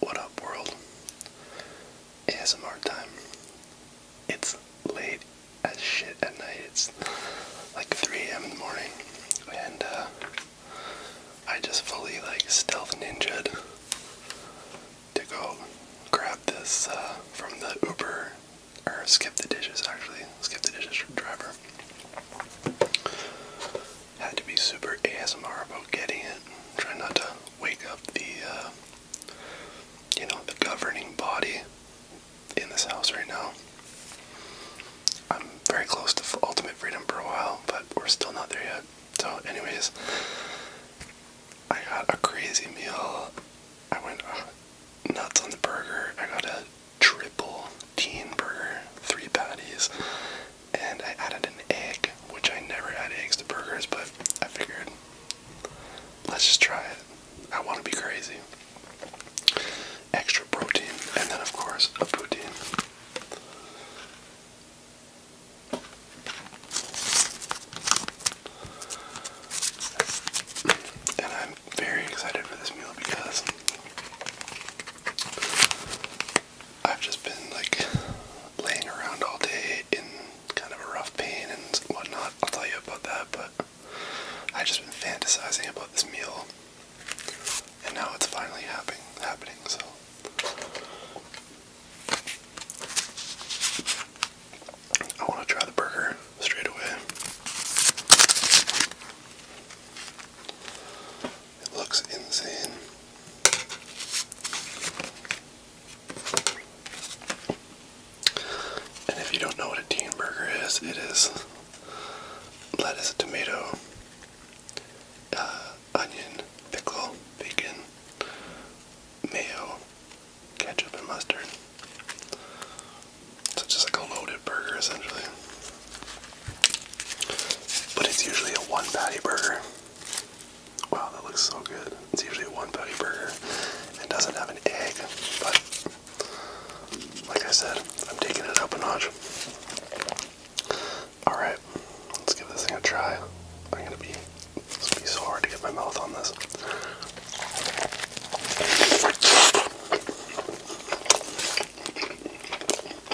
What up, world? ASMR time. It's late as shit at night. It's like 3 a.m. in the morning, and uh, I just fully like stealth ninja to go grab this uh, from the Uber or skip the dishes actually, skip the dishes from driver had to be super ASMR about getting it. Try not to wake up the, uh, you know, the governing body in this house right now. I'm very close to ultimate freedom for a while, but we're still not there yet. So, anyways, I got a crazy meal. I went uh, nuts on the burger. I got a triple teen burger, three patties, and I added an egg, which I never add eggs to burgers, but I figured let's just try it. I want to be crazy. Extra protein, and then of course a poutine. And I'm very excited for this meal because I've just been like laying around all day in kind of a rough pain and whatnot. I'll tell you about that, but I've just been fantasizing about this meal, and now it's finally happening. Happening, so. I want to try the burger straight away. It looks insane. And if you don't know what a teen burger is, it is lettuce, tomato, uh, onion, pickle, bacon, mayo, ketchup, and mustard. So just like a loaded burger essentially. But it's usually a one patty burger. Wow, that looks so good. It's usually a one patty burger and doesn't have an egg, but like I said, I'm taking it up a notch. Alright, let's give this thing a try. I'm gonna be it's gonna be so hard to get my mouth on this.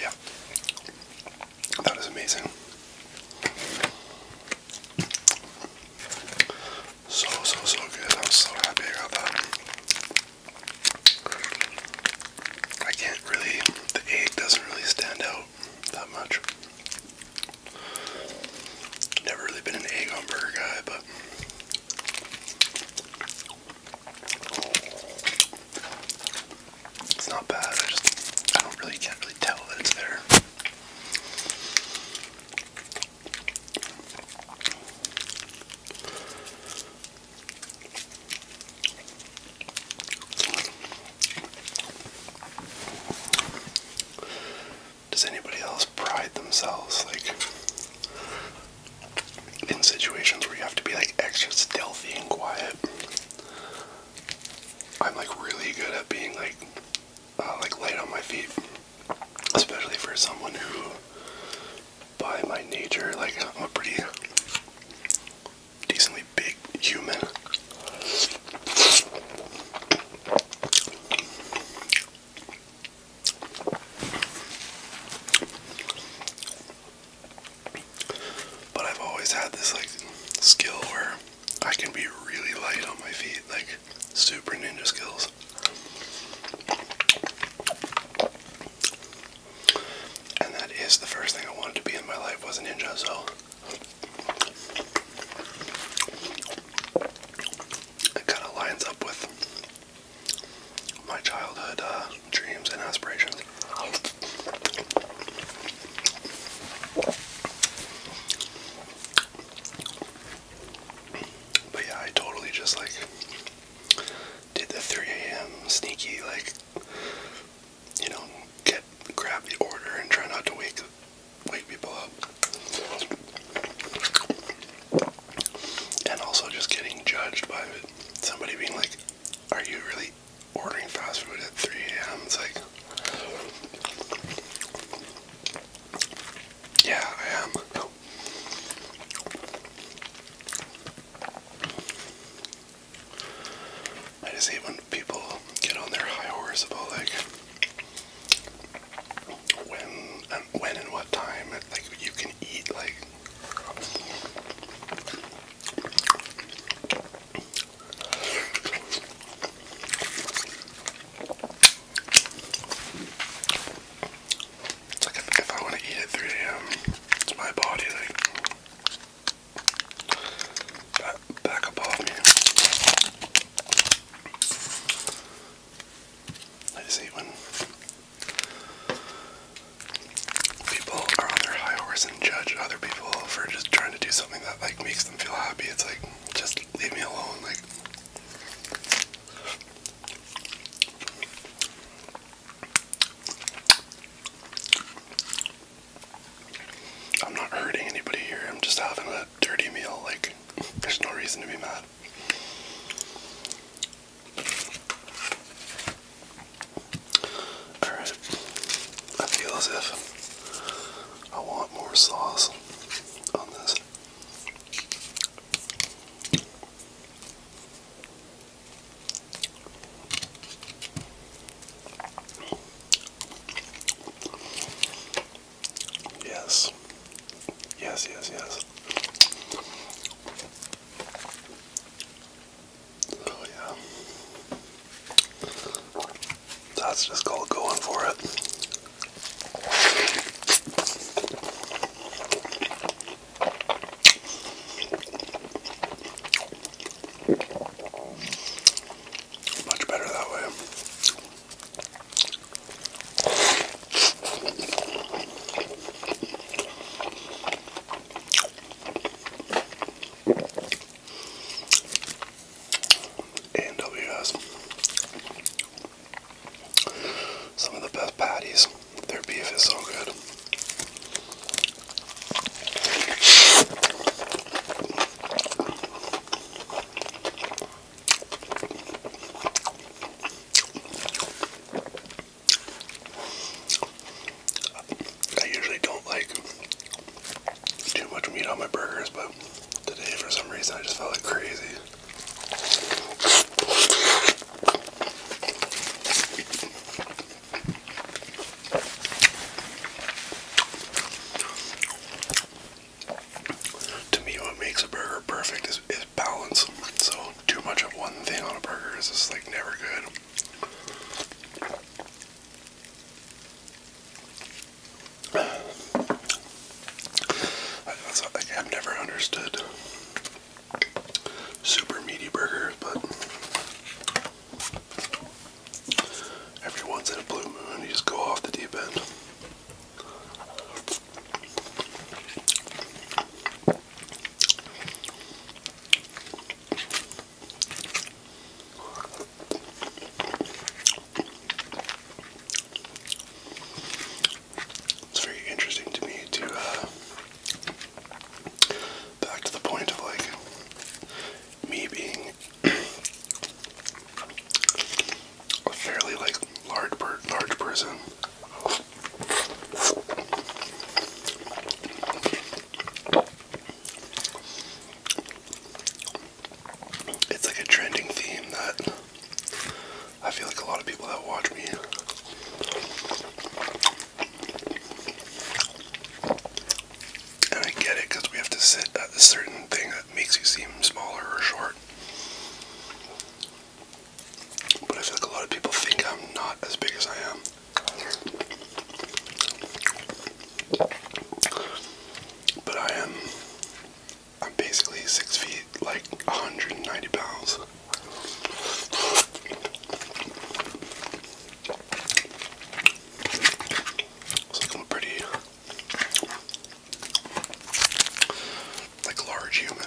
Yeah. That is amazing. So, so, so good. I'm so happy I got I can't really, the egg doesn't really stand out that much. Never really been an egg on burger guy, but it's not bad. I just I don't really can't really tell that it's there. Does anybody else pride themselves like in situations where you have to be like extra stealthy and quiet. I'm like really good at being like uh, like light on my feet, especially for someone who, by my nature, like I'm a pretty decently big human. But I've always had this like skill where I can be really light on my feet, like super ninja skills. And that is the first thing I wanted to be in my life was a ninja, so it kind of lines up with my childhood uh, dreams and aspirations. But yeah, I totally just like did the 3 a.m. sneaky, like, you know, get grab the order and try not to wake wake people up and also just getting judged by somebody being like, "Are you really ordering fast food at 3 a.m.?" It's like, yeah, I am. I just hate when people get on their high horse about like when and when and what time like you can eat like it's like if, if I want to eat at 3 a.m., it's my body like back, back above me. I just hate when people are on their high horse and judge other people for just trying to do something that like makes them feel happy. It's like just leave me alone. Like I'm not hurting anybody here. I'm just having a dirty meal. Like there's no reason to be mad. Alright, I feel as if I want more sauce on this. Yes. Yes, yes, yes. Oh yeah. That's just called going for it. Much better that way. A&W has some of the best patties. Their beef is so good. I usually don't like too much meat on my burgers, but today for some reason I just felt like crazy. To me, what makes a burger perfect is, balance. So too much of one thing on a burger is just like never good. That's like I've never understood super meaty burgers, but every once in a blue moon you just go off the deep end. It's very interesting to me to uh, back to the point of like me being a fairly like large per large person. It's like a trending theme that I feel like a lot of people that watch me and I get it because we have to sit at a certain thing that makes you seem smaller or short. But I feel like a lot of people think I'm not as big as I am. But I am. I'm basically six feet, like 190 pounds. So I'm pretty like large human.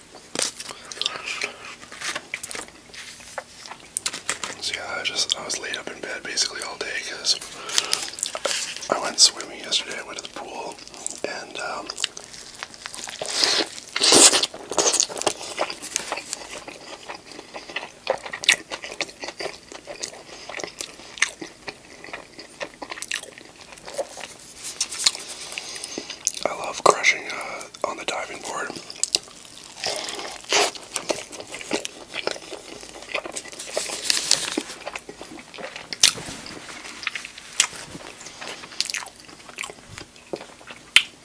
So yeah, I just I was laid up in bed basically all day because I went swimming yesterday. I went to the pool and um, I love crushing uh, on the diving board.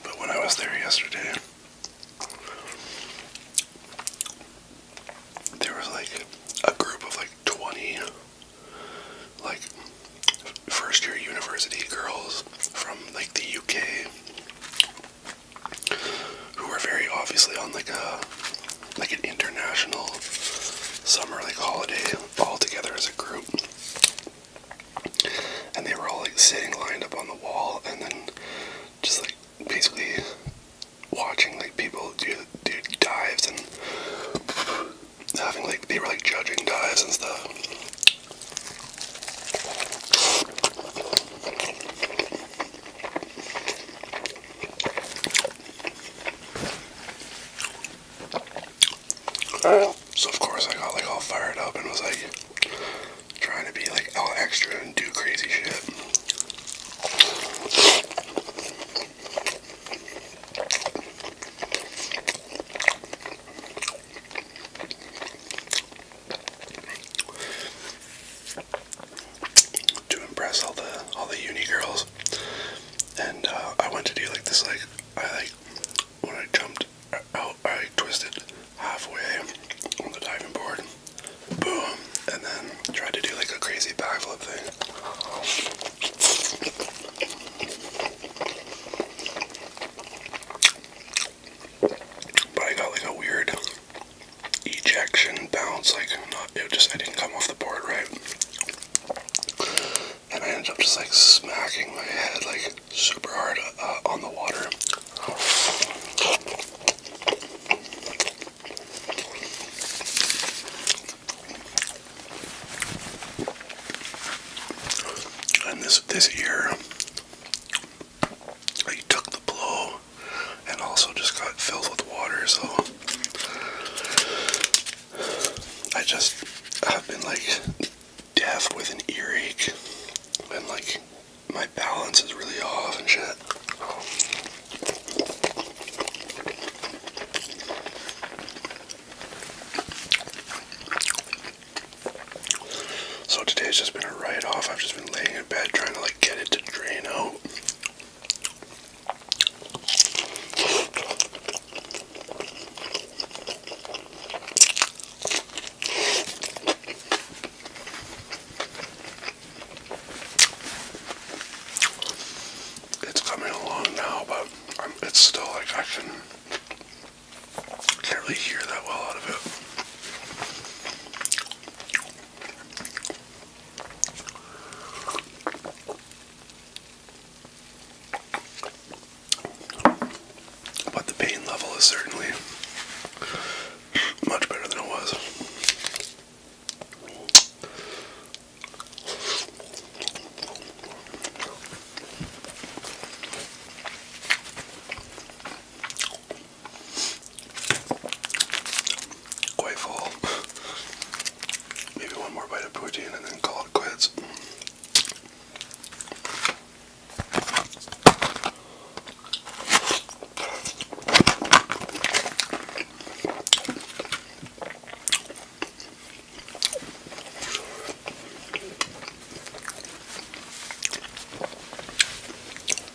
But when I was there yesterday, there was like a group of like 20 like first year university girls from like the UK who were very obviously on like a like an international summer like holiday all together as a group and they were all like sitting lined up on the wall and then just like basically watching like people do do dives and having like they were like judging dives and stuff. so of course I got like all fired up and was like trying to be like all extra and do crazy shit to impress all the all the uni girls, and uh, I went to do like this. Like I like when I jumped out, I twisted halfway on the diving board, boom, and then tried to do like a crazy backflip thing. But I got like a weird ejection bounce, like not it just I didn't come off the board right. And I ended up just like smacking my head like super hard uh, on the water. And this this year, I took the blow, and also just got filled with water. So I just have been like deaf with an earache, and like my balance is really off and shit. So today's just been a write off. I've just been laying in bed trying to like get it to drain out it's coming along now, but it's still like I can't really hear that well out of it. But the pain level is certainly much better than it was. Quite full. Maybe one more bite of protein and then call it quits.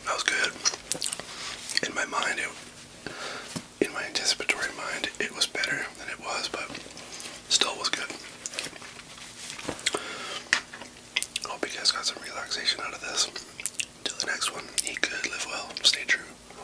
That was good. In my mind, it, in my anticipatory mind, it was better than it was, but still was good. Hope you guys got some relaxation out of this. Till the next one, eat good, live well, stay true.